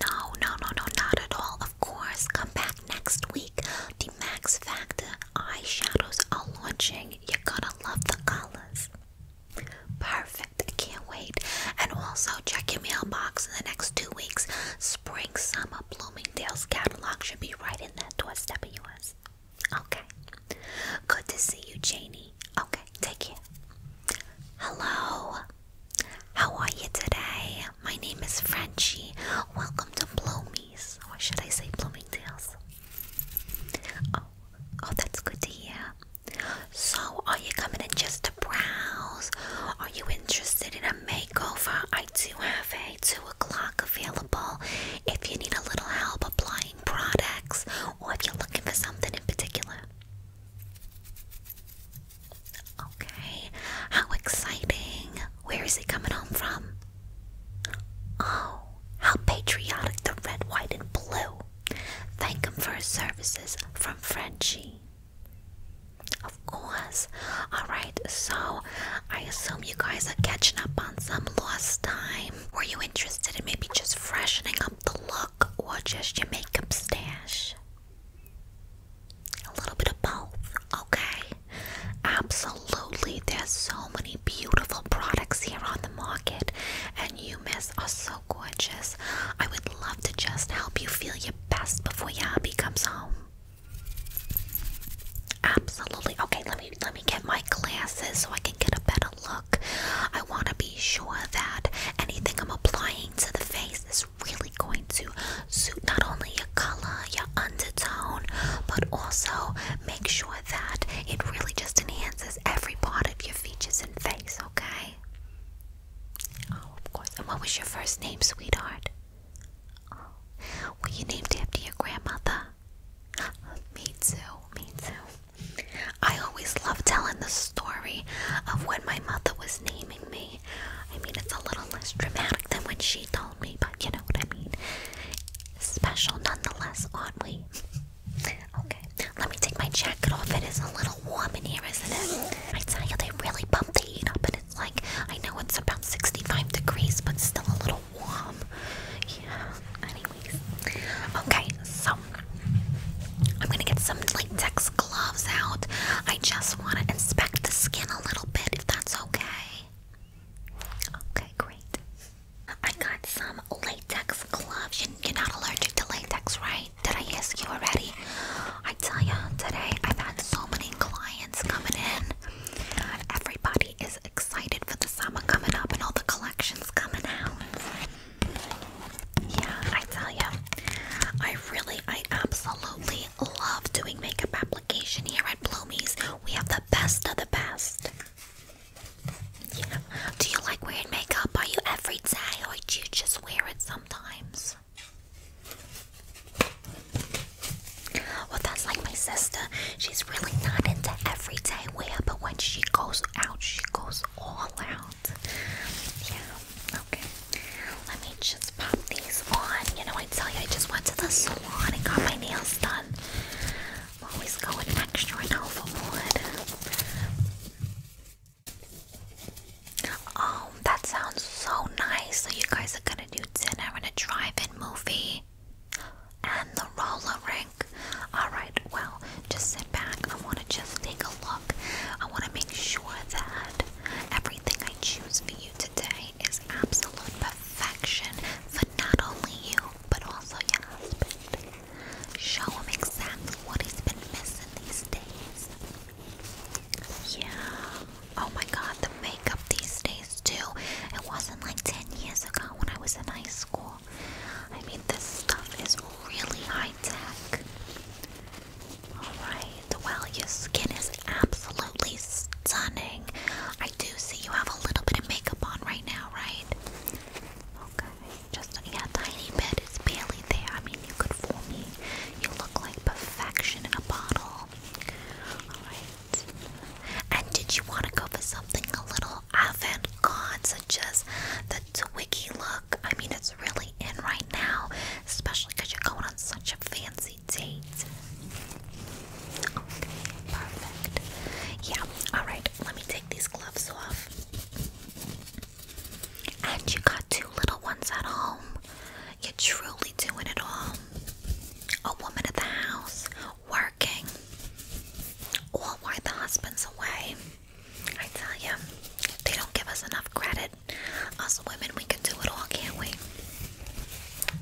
No, no, no, no, not at all. Of course, come back next week. The Max Factor eyeshadows are launching. You're gonna love the colors. Perfect. I can't wait. And also check your mailbox in the next two weeks. Spring Summer Bloomingdale's catalog should be right in that doorstep of yours. Okay. Good to see you, Janie. Okay, take care. Hello. How are you today? My name is Frenchie. Welcome to Bloomies. Or should I say Bloomingdale's? Oh, oh, that's good to hear. So, are you coming in just to browse? Are you interested in a makeover? I do have a 2 o'clock available if you need a little help applying products or if you're looking for something in particular. Okay, how exciting! Where is he coming home from? Oh, how patriotic the red, white, and blue! Thank him for his services from Frenchie. Of course. Alright, so I assume you guys are catching up on some lost time. Were you interested in maybe just freshening up the look or just your makeup stash? A little bit of both, okay? Absolutely. There's so many beautiful products here on the market, and you, miss, are so gorgeous. I would love to just help you feel your best before your hubby comes home. Absolutely. Okay, let me let me get my glasses so I can get a better look. I want to be sure that anything I'm applying to the face is really going to suit not only your color, your undertone, but also make sure that it really just enhances every part of your features and face, okay? Oh, of course. And what was your first name, sweetheart? Oh, were you named after your grandmother? Me too, me too. I always love telling the story of when my mother was named me. I mean, it's a little less dramatic than when she told me, but you know what I mean. Special nonetheless, aren't we? okay, let me take my jacket off. It is a little warm in here, isn't it? I tell you, they really bump the heat up, and it's like, I know it's about 65 degrees, but still a little warm. Yeah, anyways. Okay, so I'm gonna get some like text gloves out. I just want to inspect the skin a little bit if that's okay. Okay, great. I got some latex gloves. You're not allergic to latex, right? Did I ask you already? I tell you, today I've had so many clients coming in. Everybody is excited for the summer coming up and all the collections coming out. Yeah, I tell you. I really, I absolutely love doing makeup application here at Bloomy's. We have the best of the best. Yeah. Do you like wearing makeup? Are you every day or do you just wear it sometimes? Well, that's like my sister. She's really not into everyday wear, but when she goes out, she goes all out. Yeah, okay. Let me just pop these on. You know, I tell you, I just went to the salon and got my nails done. I'm always going extra now for wood. Oh, that sounds so nice. So you guys are gonna do dinner and a drive-in movie and the roller rink. Alright, well, just sit back. I wanna just take a look. I wanna make sure that Everything I choose for you today is absolute perfection for not only you, but also your husband. Show him exactly what he's been missing these days. Yeah. Oh my god, the makeup these days, too. It wasn't like 10 years ago when I was in high school. I mean, this stuff is really high tech. Alright, well, your skin is absolutely stunning. I do see you have a little bit of makeup on right now, right? Okay, just a yeah, tiny bit. It's barely there. I mean, you could fool me. You look like perfection in a bottle. Alright. And did you want to go for something a little avant garde, such as the font wiki look. I mean, it's really in right now, especially because you're going on such a fancy date. perfect. Yeah, alright, let me take these gloves off. And you got two little ones at home. You're truly doing it all. A woman at the house, working, while the husband's away. I tell you, they don't give us enough credit, us women, we can do it all, can't we?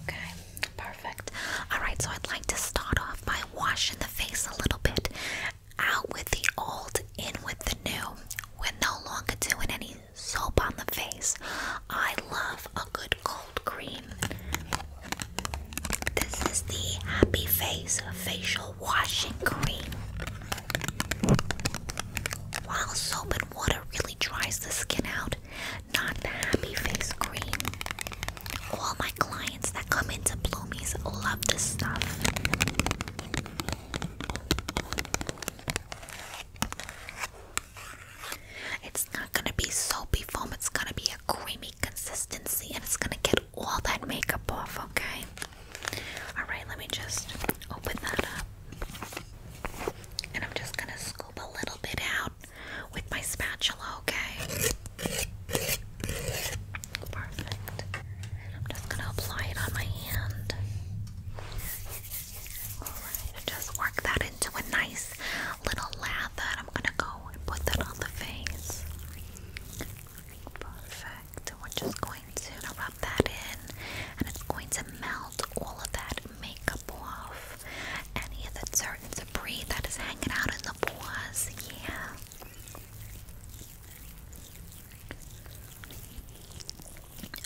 Okay, perfect. Alright, so I'd like to start off by washing the face a little bit. Out with the old, in with the new. We're no longer doing any soap on the face. I love a good cold cream. This is the Happy Face Facial washing cream. While soap and water really dries the skin out, not happy face cream. All my clients that come into Bloomies love this stuff. It's not gonna be soapy foam, it's gonna be a creamy consistency, and it's gonna get all that makeup off, okay? Alright, let me just open that up. And I'm just gonna scoop a little bit out with my spatula, okay? Perfect. And I'm just gonna apply it on my hand. Alright, just work that into a nice little lather. I'm gonna go and put that on the face. Perfect. So We're just going to rub that in and it's going to melt all of that makeup off. Any of the dirt and debris that is hanging out in the pores. Yeah.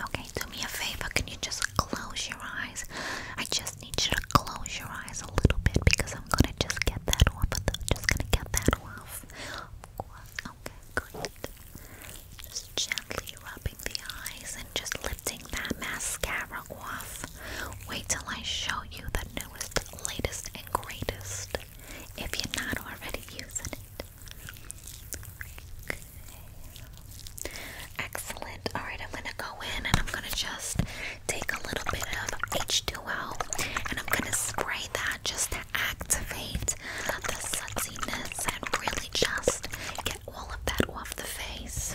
Okay, do me a favor. Can you just close your eyes? I just need you to close your eyes a little bit because I'm gonna just get that off. Just gonna get that off. Okay, great. Just gently rubbing the eyes and just lifting that mascara off. Wait till I show you the newest, latest, and greatest if you're not already using it. Excellent. Alright, I'm gonna go in and I'm gonna just take a little bit of H2O and I'm gonna spray that just to activate the sutsiness, and really just get all of that off the face.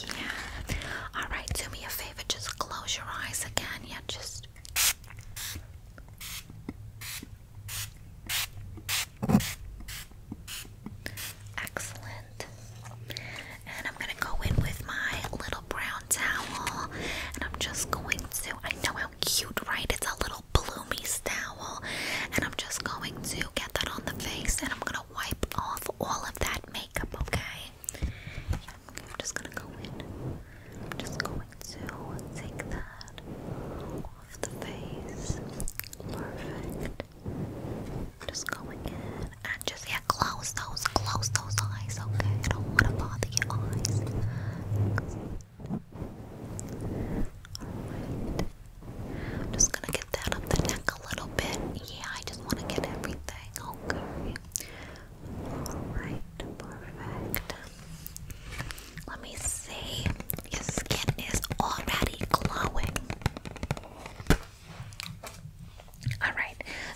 Yeah. Alright, do me a favor, just close your eyes again. Yeah, just. Excellent. And I'm gonna go in with my little little brown towel, and I'm just going to. I know how cute, right? It's a little bloomy towel, and I'm just going to get that on the face, and I'm gonna wipe off all of that makeup, okay? I'm just gonna go in. I'm just going to take that off the face. Perfect. Just going in and just yeah, close those, close those eyes, okay? I don't want to bother your eyes. Alright. I'm just gonna get that up the neck a little bit. Yeah, I just want to get everything, okay? Alright, perfect. Let me see. Your skin is already glowing. Alright,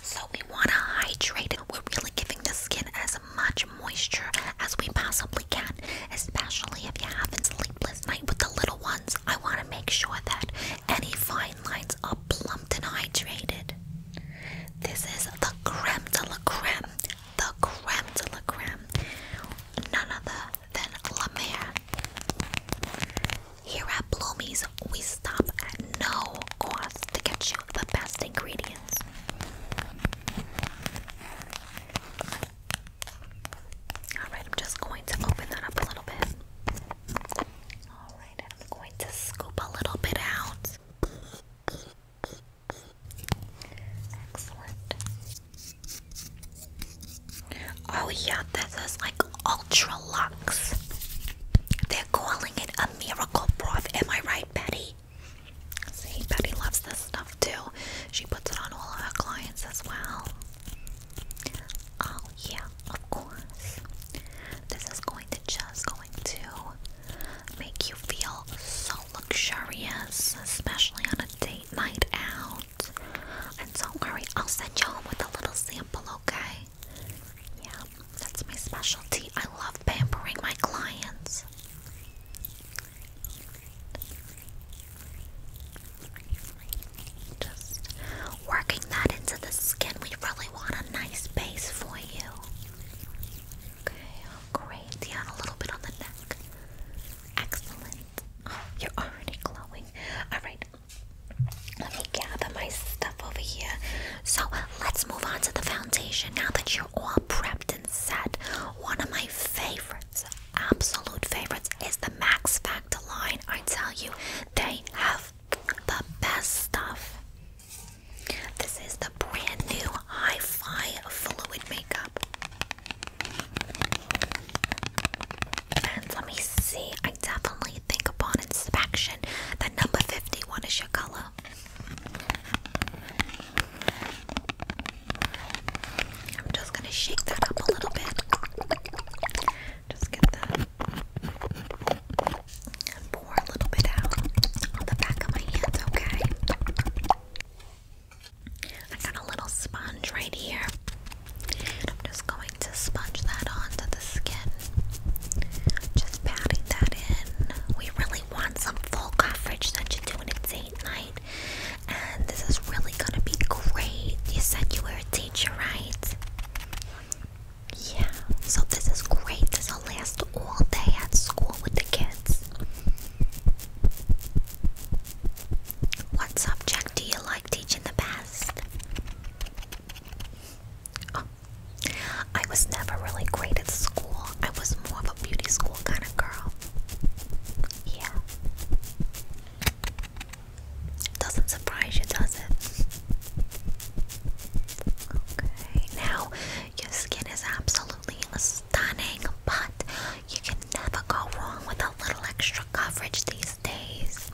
so we want to hydrate. We're really giving the skin as much moisture as we possibly can, especially if you have a sleepless night with the little ones. I want to make sure that any fine lines are plumped and hydrated. This is the creme de la creme, the creme de la creme, none other than La Mer. Here at Bloomies, we stop at no cost to get you the best ingredients Alright, I'm just going to open that up a little bit. Alright, I'm going to scoop a little bit out. Excellent. Oh, yeah, this is like ultra luxe they calling it a miracle broth. Am I right, Betty? See, Betty loves this stuff too. She puts it on all her clients as well. Oh yeah, of course. This is going to just going to make you feel so luxurious, especially on a date night out. And don't worry, I'll send you home with a little sample, okay? Yeah. That's my specialty. I love pampering my clients. Just working that into the skin. We really want a nice base for you. Okay, oh, great. Yeah, a little bit on the neck. Excellent. you're already glowing. Alright. Let me gather my stuff over here. So let's move on to the foundation now that you're all prepped and set. One of my favorites, absolute favorites, is the Max Factor line. I tell you, they have the best stuff. This is the brand new High Five Fluid Makeup. And let me see, I definitely think upon inspection that number 51 is your color. I'm just going to shake that up a little bit. Just get that pour a little bit out on the back of my hands, okay? I got a little sponge right here. I'm just going to sponge that onto just patting that in. We really want some full coverage that you do it's date night. And this is really gonna be great. You said you were a teacher, right? Yeah, so this is great. This will last all day at school with the kids. What subject do you like teaching the best? Oh, I was never really great at school. I was more of a beauty school kind of girl. Yeah. Doesn't surprise you, does it? Okay. Now, your skin is absolutely stunning, but you can never go wrong with a little extra coverage these days.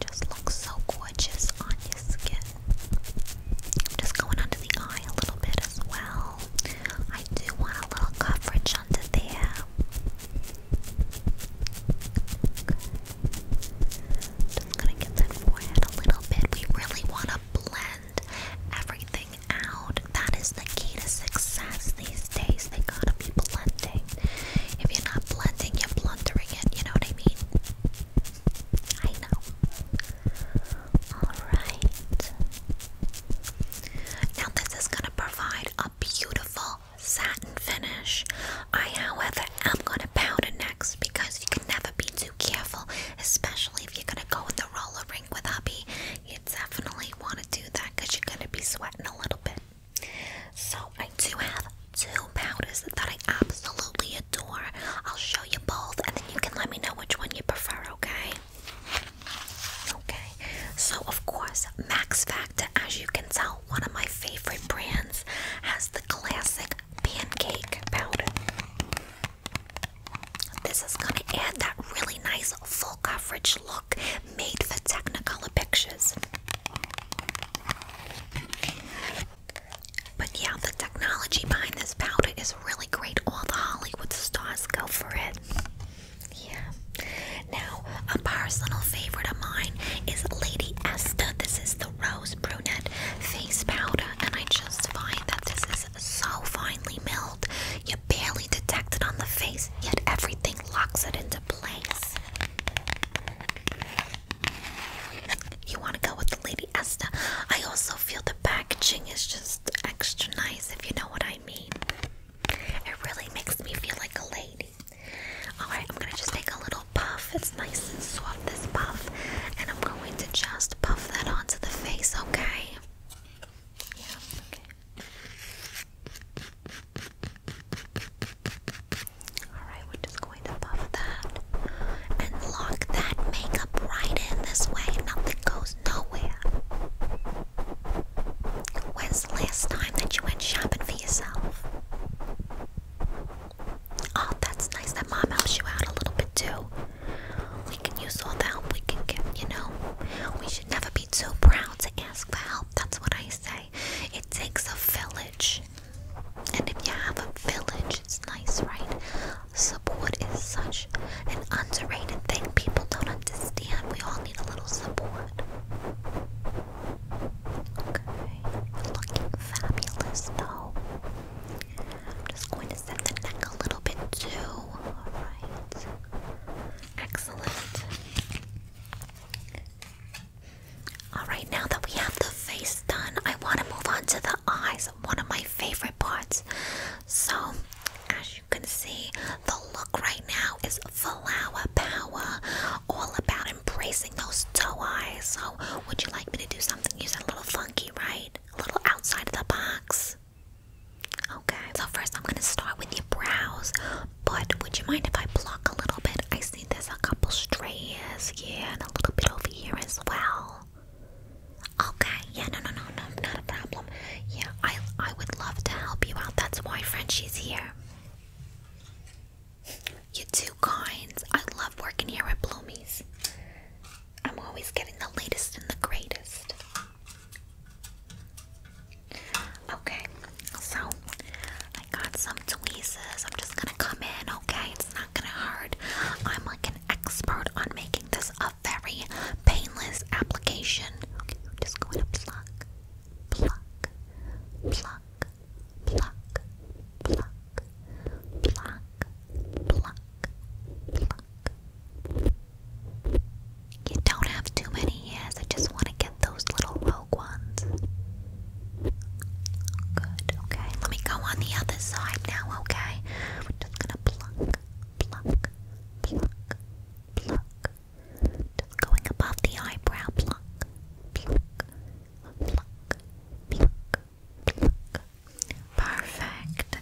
just looks so gorgeous on your skin. Just going under the eye a little bit as well. I do want a little coverage under there. Just gonna get that forehead a little bit. We really want to blend everything out. That is the key to success these days. They gotta be blending. If you're not blending, you're blundering it. You know what I mean? I know. Alright. Now, this is going to provide a beautiful satin finish. I, however, am going to pound powder next because you can never be too careful, especially if you're going to go with a roller rink with hubby. You definitely want to do that because you're going to be sweating a little bit. So, I do have two two powders that I absolutely adore. I'll show you both and then you can let me know which one you prefer, okay? Okay, so of course, Max Factor, as you can tell, one of my favorite brands, has the classic pancake powder. This is going to add that really nice full coverage look made for Technicolor pictures. But yeah, the technology behind this powder is really great. All the Hollywood stars go for it. Yeah. Now, a personal favorite of mine is Lady Esther. This is the Rose Brunette Face Powder, and I just find that this is so finely milled. You barely detect it on the face, yet everything locks it into place. You want to go with the Lady Esther? I also feel the packaging is just extra nice, if you know what I mean. It really makes me feel like a lady. Alright, I'm gonna just take a little puff. It's nice and soft, this puff. And I'm going to just puff that onto the face, okay? Alright, just going that and lock that makeup right in this way. Nothing goes nowhere. When's the last time that you went shopping for yourself? Oh, that's nice that mom helps you out a little bit too. We can use all the help we can get, you know? We should never be too proud to ask for help. That's what I say. It takes a village. And if you have a village, it's nice, right? Support is such an underrated thing. People don't understand. We all need a little support. Okay, looking fabulous though. I'm just going to set the neck a little bit too. Alright. Excellent. Alright, now that we have the face done, I want to move on to the the eyes, one of my favorite parts. So, as you can see, the look right now is flower power, all about embracing those doe eyes. So, would you like me to do something? You said a little funky, right? A little outside of the box. Okay, so first I'm gonna start with your brows, but would you mind if I block a little bit? I see there's a couple strays, yeah, and a little bit over here as well. Okay, yeah, no, no, no, no, not a problem. Yeah, I, I would love to help you out. That's why Frenchie's here. You two kinds. I love working here at Bloomies. I'm always getting the latest and the greatest. Okay, so I got some tweezers. I'm just gonna come in, okay? It's not gonna hurt. I'm like an expert on making this a very painless application. Okay, I'm just pluck, pluck, pluck, pluck, pluck, pluck, pluck, pluck. You don't have too many hairs. I just want to get those little rogue ones okay. Let me go on the other side now, okay? We're just gonna pluck, pluck, pluck, pluck. going above the eyebrow, pluck, pluck, pluck, pluck, Perfect.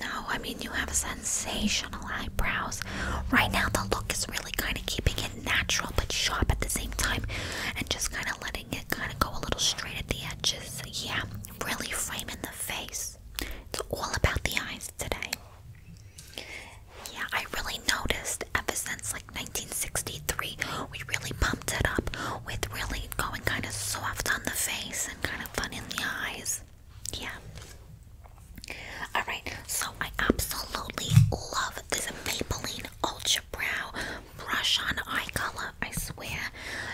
No, I mean, you have sensational eyebrows. Right now, the look is really kind of keeping it natural but sharp at the same time and just kind of letting it kind of go a little straight at the edges. Yeah, really framing the face. It's all about the eyes today. Yeah, I really noticed ever since like 1963, we really pumped it up with really going kind of soft on the face and kind of fun in the eyes. Yeah. Alright, so I absolutely love this Maybelline Ultra Brow Brush on Eye Color. I swear,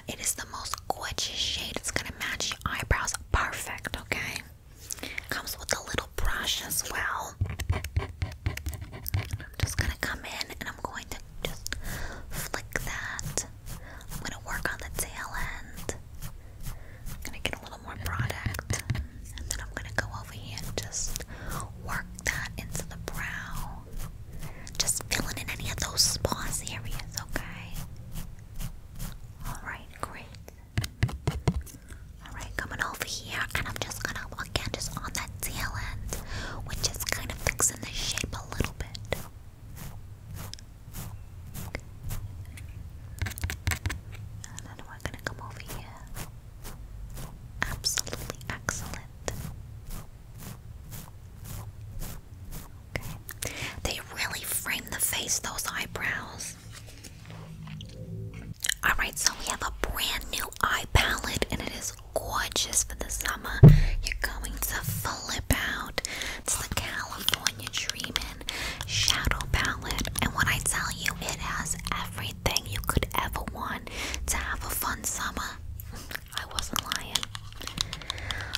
it is the most gorgeous shade. It's gonna match your eyebrows perfect, okay? Comes with a little brush as well. I'm just gonna come in and I'm going to just flick that. I'm gonna work on the tail end. I'm gonna get a little more product. And then I'm gonna go over here just Work that into the brow. Just filling in any of those sparse areas, okay? Alright, great. Alright, coming over here, and I'm just gonna, again, just on that tail end, which is kind of fixing the shape a little bit. And then we're gonna come over here. Absolutely excellent. They really frame the face, those eyebrows. Alright, so we have a brand new eye palette, and it is gorgeous for the summer. You're going to flip out. It's the California Dreamin' Shadow Palette, and when I tell you, it has everything you could ever want to have a fun summer. I wasn't lying.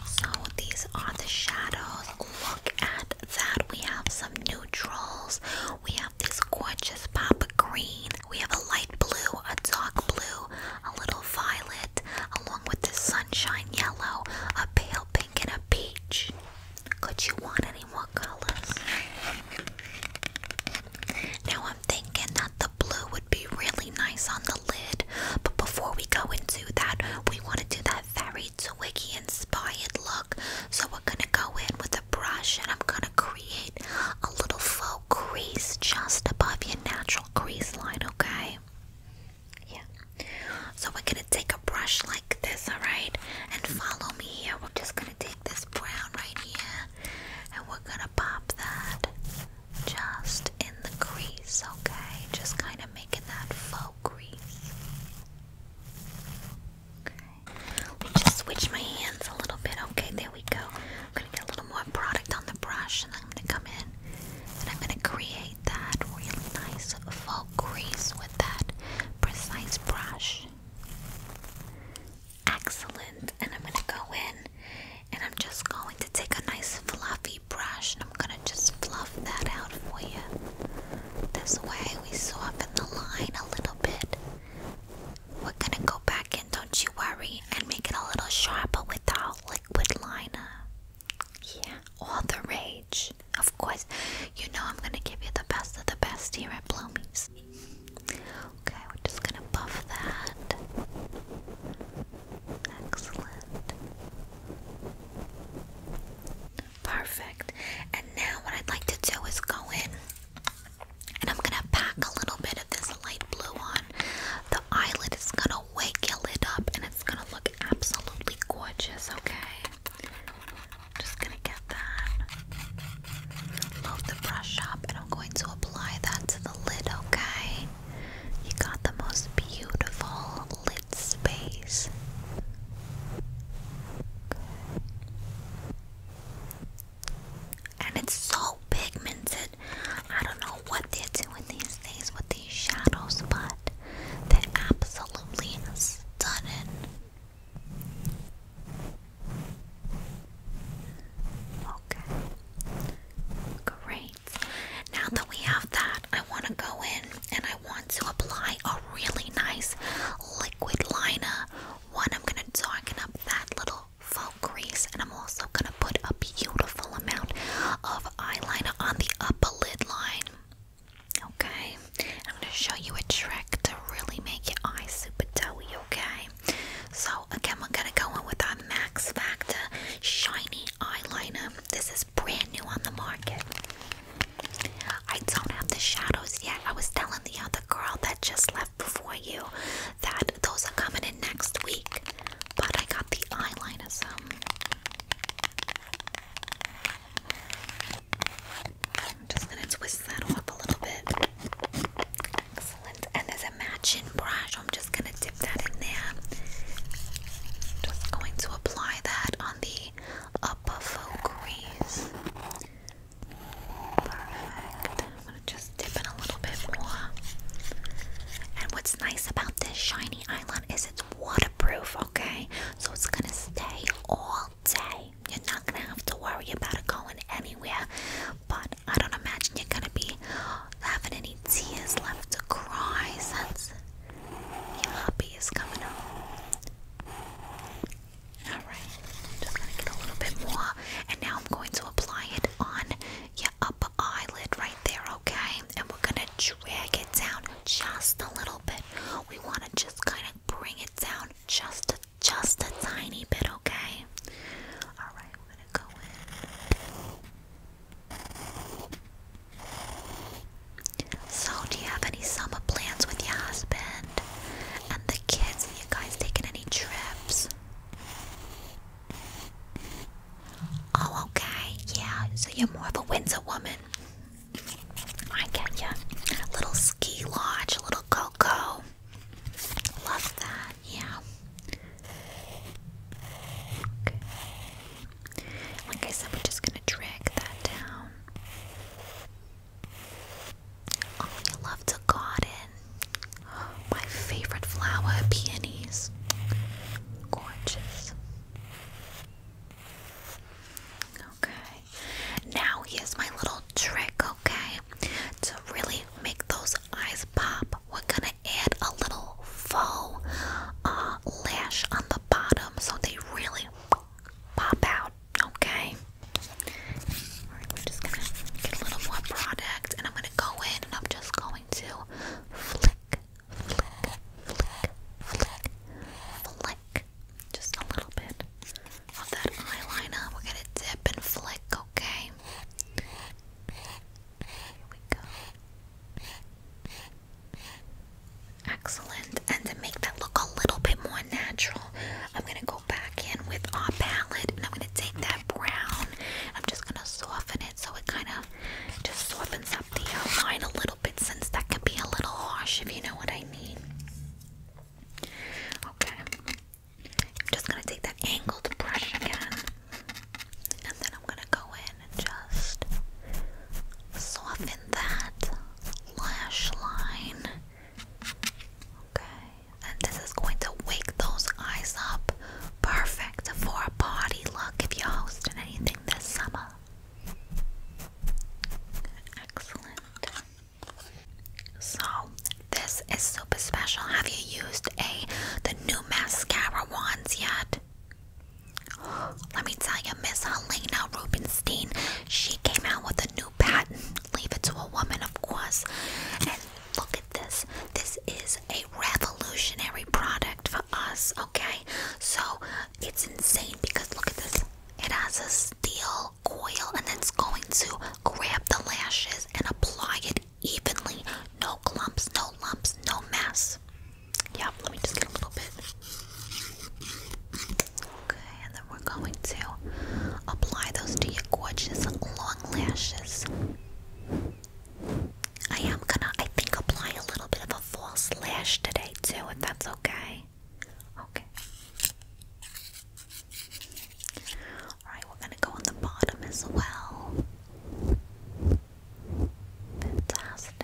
So these are the shadows. Look at that. We have some neutrals. We have this gorgeous papa green. We have a light blue, a dark blue, a little violet, along with this sunshine yellow, a pale pink, and a peach. Could you want any more colors? Now I'm thinking that blue would be really nice on the lid. But before we go into that, we want to do that very twiggy inspired look. So we're gonna go in with a brush and I'm gonna create a little faux crease just above your natural crease line, okay? Yeah. So we're gonna take a brush like this, alright? And follow me here. We're just gonna gonna take this brown right here and we're gonna pop that just in the crease, okay? Just kind of making that faux crease. Okay. Let me just switch my hands a little bit. Okay, there we go. I'm gonna get a little more product on the brush and I'm gonna come in and I'm gonna create that really nice faux crease with that precise brush. Excellent. And I'm gonna go in and I'm just going to take a nice fluffy brush and I'm gonna just fluff that out for you. This way we soften the line a little bit. We're gonna go back in, don't you worry, and make it a little sharper with our liquid liner. Yeah, all the rage. Of course, you know I'm gonna give you the best of the best here at Blow Me's. Okay, we're just gonna buff that. Excellent. Perfect. And now what I'd like to do is go in and I'm gonna pack a little bit of this light blue on. The eyelid is gonna wake your lid up and it's gonna look absolutely gorgeous, okay? Just gonna get that. Load the brush up, and I'm going to apply that to the lid, okay? You got the most beautiful lid space. And it's so pigmented. I don't know what they're doing these days with these shadows, but they're absolutely stunning. Okay. Great. Now that we have that, I want to go in and I want to apply a really nice liquid liner. One, I'm going to darken up that little faux crease, and I'm also going to put a beautiful amount of eyeliner on the upper lid line. Okay, I'm going to show you a trick to really make your eyes super doughy, okay? So again, we're gonna go in with our Max Factor shiny eyeliner. This is brand new on the market. I don't have the shadows yet. I was telling the other girl that just left before you that those are coming in next week, but I got the eyeliner so. just gonna twist that off a little bit. Excellent. And there's a matching brush. I'm just gonna dip that in there. Just going to apply that on the upper full Perfect. I'm gonna just dip in a little bit more. And what's nice about this shiny island is it's waterproof, okay? So it's gonna stay all day. You're not gonna have to worry about it going anywhere. But I don't imagine you're gonna be having any tears left to cry since your hobby is coming up. Alright, just gonna get a little bit more, and now I'm going to apply it on your upper eyelid right there, okay? And we're gonna drag it down just a little bit. We wanna just kind of bring it down just a just a tiny bit, okay? Alright, we're gonna go in. So, do you have any summer plans with your husband and the kids? Are you guys taking any trips? Oh, okay, yeah, so you're more of a winter woman. I get you. A little ski lodge, a little cocoa. Love that, yeah. Okay. Like I said, we're just gonna drag that down. Oh, I love the garden. my favorite flower, peonies. Gorgeous. Okay. Now here's my little trick, okay? To really make those eyes pop, we're gonna add a little faux uh, lash on the bottom so they really pop out. Okay. just gonna get a little more product, and I'm gonna go in and I'm just going to flick, flick, flick, flick, flick, just a little bit of that eyeliner. We're gonna dip and flick, okay? Here we go. Excellent. And to make that look a little bit more natural, I'm gonna go back in with our palette and I'm gonna take that brown. I'm just gonna soften it so it kind of just softens up the outline a little bit since that can be a little harsh if you know what I mean. Okay. I'm just gonna take that angled brush again, and then I'm gonna go in and just soften that lash line. Okay, and this is going to wake those eyes up. Perfect for a party look if you're hosting anything this summer. Excellent. So this is super special. Have you used a the new mascara wands yet? Let me tell you, Miss Helena Rubinstein, she came out with a new patent. Leave it to a woman, of course. And look at this. This is a revolutionary product for us, okay? So it's insane because look at this. It has a steel coil and then it's going to grab the lashes and apply it evenly. No clumps, no lumps, no mess. Yep, let me just get a little bit. Okay, and then we're going to apply those to your gorgeous long lashes. I am gonna, I think, apply a little bit of a false lash today too, if that's okay. Okay. Alright, we're gonna go on the bottom as well. Fantastic.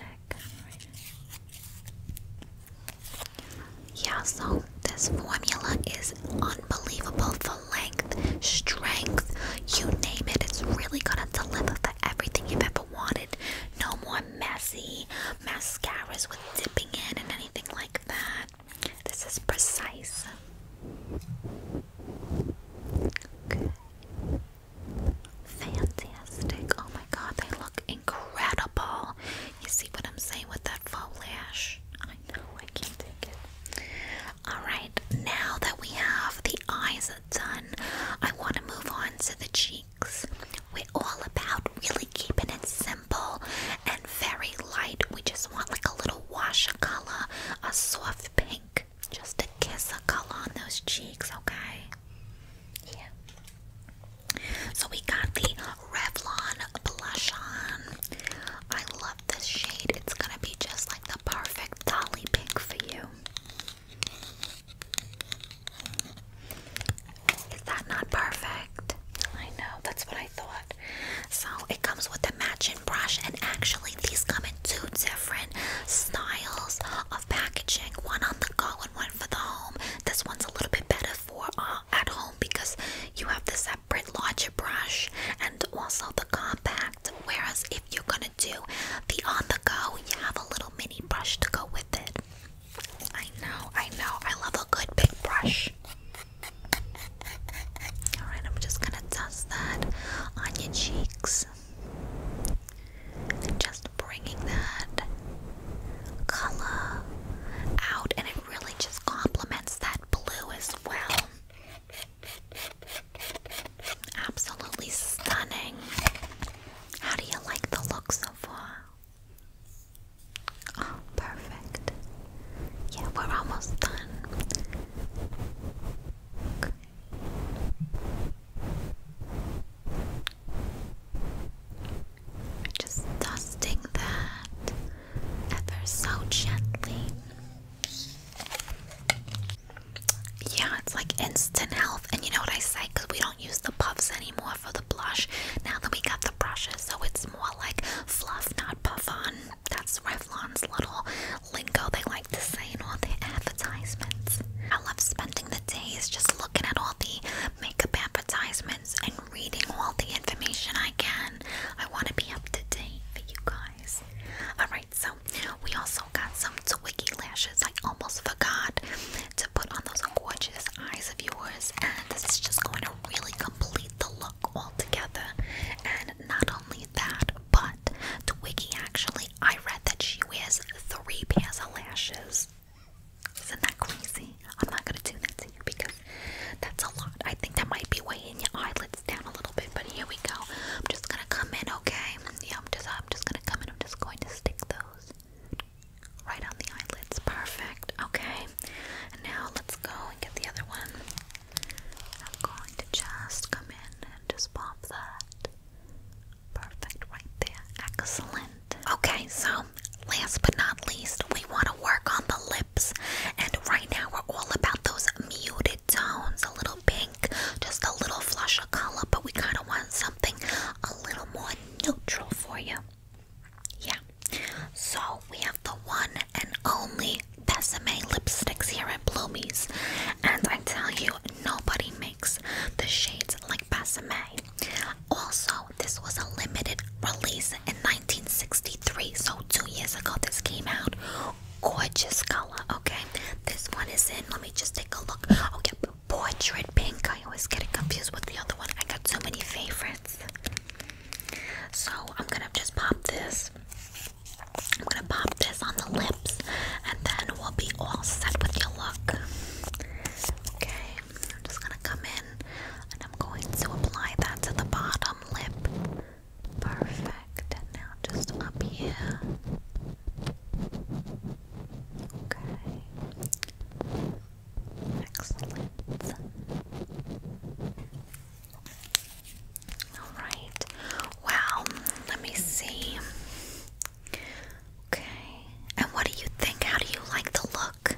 Yeah, so this formula is unbelievable for length, strength, you name it. It's really gonna deliver everything you've ever wanted. No more messy mascaras with dipping in and anything like that. This is precise. Fantastic. Oh my god, they look incredible. You see what I'm saying with that foliage? I know, I can't take it. Alright, now that we have the eyes done, I want to move on to the cheeks. We're all about really keeping it simple and very light. We just want like a little wash of color, a soft pink, just a kiss of color on those cheeks, okay? Yeah. So we got the Revlon blush on. I love this shade. It's gonna be just like the perfect dolly pink for you. Is that not perfect? I know, that's what I thought. So it comes with a matching brush, and actually, these come in two different styles of packaging one on the go and one for the home. This one's a little bit better for uh, at home because you have the separate larger brush and also the compact. Whereas, if you're gonna do the on the go, you have a little mini brush to go with it. I know, I know, I love a good big brush. Alright, I'm just gonna test that on your cheeks. just bringing that color out, and it really just complements that blue as well. Absolutely stunning. How do you like the look so far? Oh, perfect. Yeah, we're almost done. Just dusting that ever so gently. Yeah, it's like instant health. And you know what I say? Because we don't use the puffs anymore for the blush now that we got the brushes. So it's more like fluff, not puff on. That's Revlon's little lingo they like to say in all their advertisements. I love spending the days just looking at all the makeup advertisements and reading all the information I can. I want to be up to date for you guys. Alright, so we also got some Twiggy lashes. I almost forgot to put on those gorgeous eyes of yours, and this is just going to really complete the look look all together. And not only that, but Twiggy actually, I read that she wears three pairs of lashes. Isn't that crazy? I'm not gonna do that to you because that's a lot. I think that might be weighing your eyelids down a little bit, but here we go. I'm just gonna come in, okay? Yeah, I'm just I'm just gonna come in. I'm just going to stick those right on the eyelids. Perfect. Okay and now let's go and get the other one. I'm going to just come in and just pop that. Perfect, right there. Excellent. Okay, so last but not least, we want to work on the lips, and right now we're all about those muted tones a little pink, just a little flush of color, but we kind of want something a little more neutral for you. Yeah. So we have the one and only Besame lipsticks here at Bloomies. And I tell you, nobody makes the shades like Besame. Also, this was a limited release in 1963. So two years ago this came out. Gorgeous color, okay? This one is in, let me just take a look. Okay, oh, portrait pink. I always get confused with the other one. I got so many favorites. So I'm gonna just pop this. I'm gonna pop this on the lips, and then we'll be all set with your look. Okay, I'm just gonna come in, and I'm going to apply that to the bottom lip. Perfect. And now just up here. Okay. Excellent. Alright. Well, let me see. Okay. And what do you think? How do you like the look?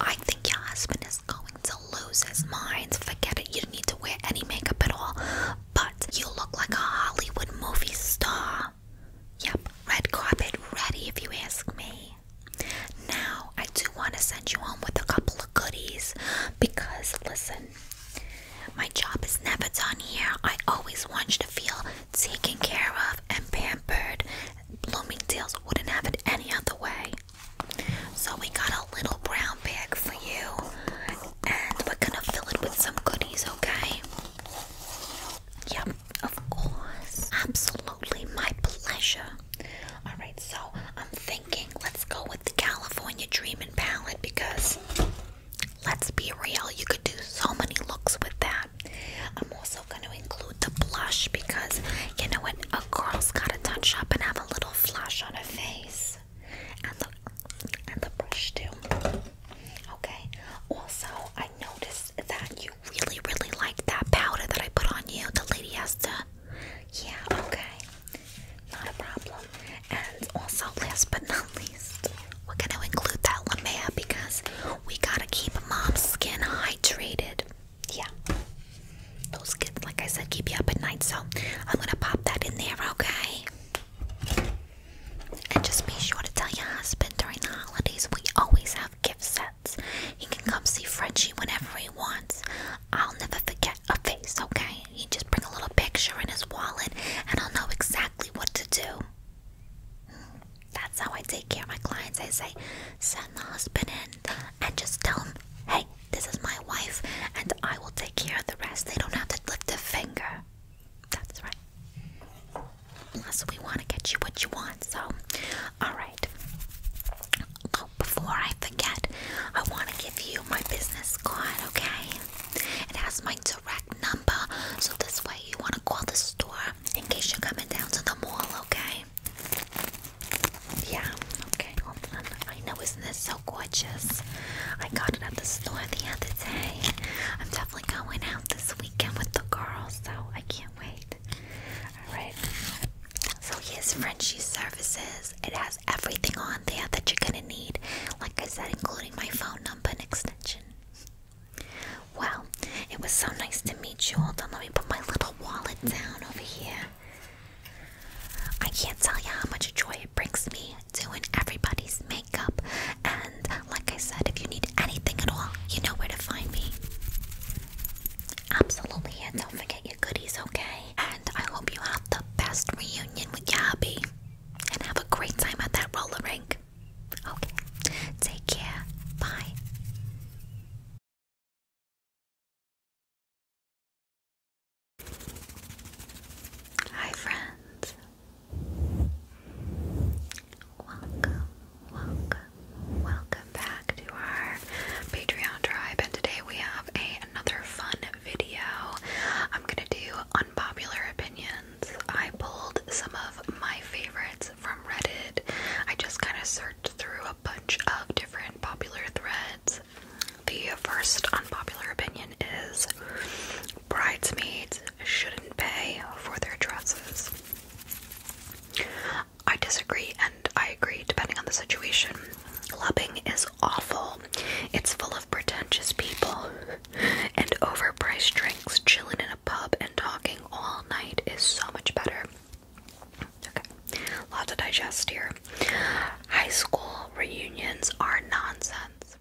I think your husband is going to lose his mind. Forget it. You don't need to wear any makeup at all. But you look like a Hollywood movie star. Yep, red carpet ready if you ask me. Now, I do want to send you home with a couple of goodies because, listen, my job is never done here. I always want you to feel taken care of and pampered. Bloomingdale's wouldn't have it any other way. So, we got a little brown bag for you and we're gonna fill it with some goodies, okay? Yep, of course. Absolutely my pleasure. All right, so I'm thinking let's go with the California Dreamin' palette because let's be real, you could do so many looks with that. I'm also going to include the blush because you know what? A girl's got to touch up and have a little flush on her face, and the and the brush too. Okay. Also, I noticed that you you really, really like that powder that I put on you, the lady has to. Yeah, okay. Not a problem. And also, last but not least, we're gonna include that one, Lamea because we gotta keep mom's skin hydrated. Yeah. Those kids, like I said, keep you up at night, so I'm gonna pop that in there, okay? And just be sure to tell your husband during the holidays we always have gift sets. He can come see Frenchie whenever he I'll never forget a face, okay? He just bring a little picture in his wallet and I'll know exactly what to do. That's how I take care of my clients. I say, send the husband in and just tell him, hey, this is my wife and I will take care of the rest. They don't have to lift a finger. That's right. So we want to get you what you want, so all before I forget, I want to give you my business card, okay? It has my direct number, so this way you want to call the store in case you're coming down to the mall, okay? Yeah, okay, I know, isn't this so gorgeous? I got it at the store the other day. I'm definitely going out this weekend with the girls, so I can't wait. Alright. So here's Frenchy Services. It has everything on there that you're gonna need, like I said, including my phone number and extension. Well, it was so nice to meet you. Hold on, let me put my little wallet down over here. I can't tell you how much joy it brings me doing everybody's makeup. And like I said, if you need anything at all, you know where to find me. Absolutely, and don't forget your goodies, okay? And I hope you have the best reunion with your And have a great time at that roller rink. Okay, take care. Bye. Hi, friends. Welcome Welcome, welcome back to our Patreon tribe, and today we have a, another fun video. I'm gonna do unpopular opinions. I pulled some of my favorites from Reddit. I just kind of searched through a bunch of different popular threads. The first unpopular opinion is bridesmaids shouldn't pay for their dresses. I disagree and I agree depending on the situation. Clubbing is awful. It's full of pretentious people and overpriced drinks. Chilling in a pub and talking all night is so much better. Okay, a lot to digest here. High school reunions are nonsense.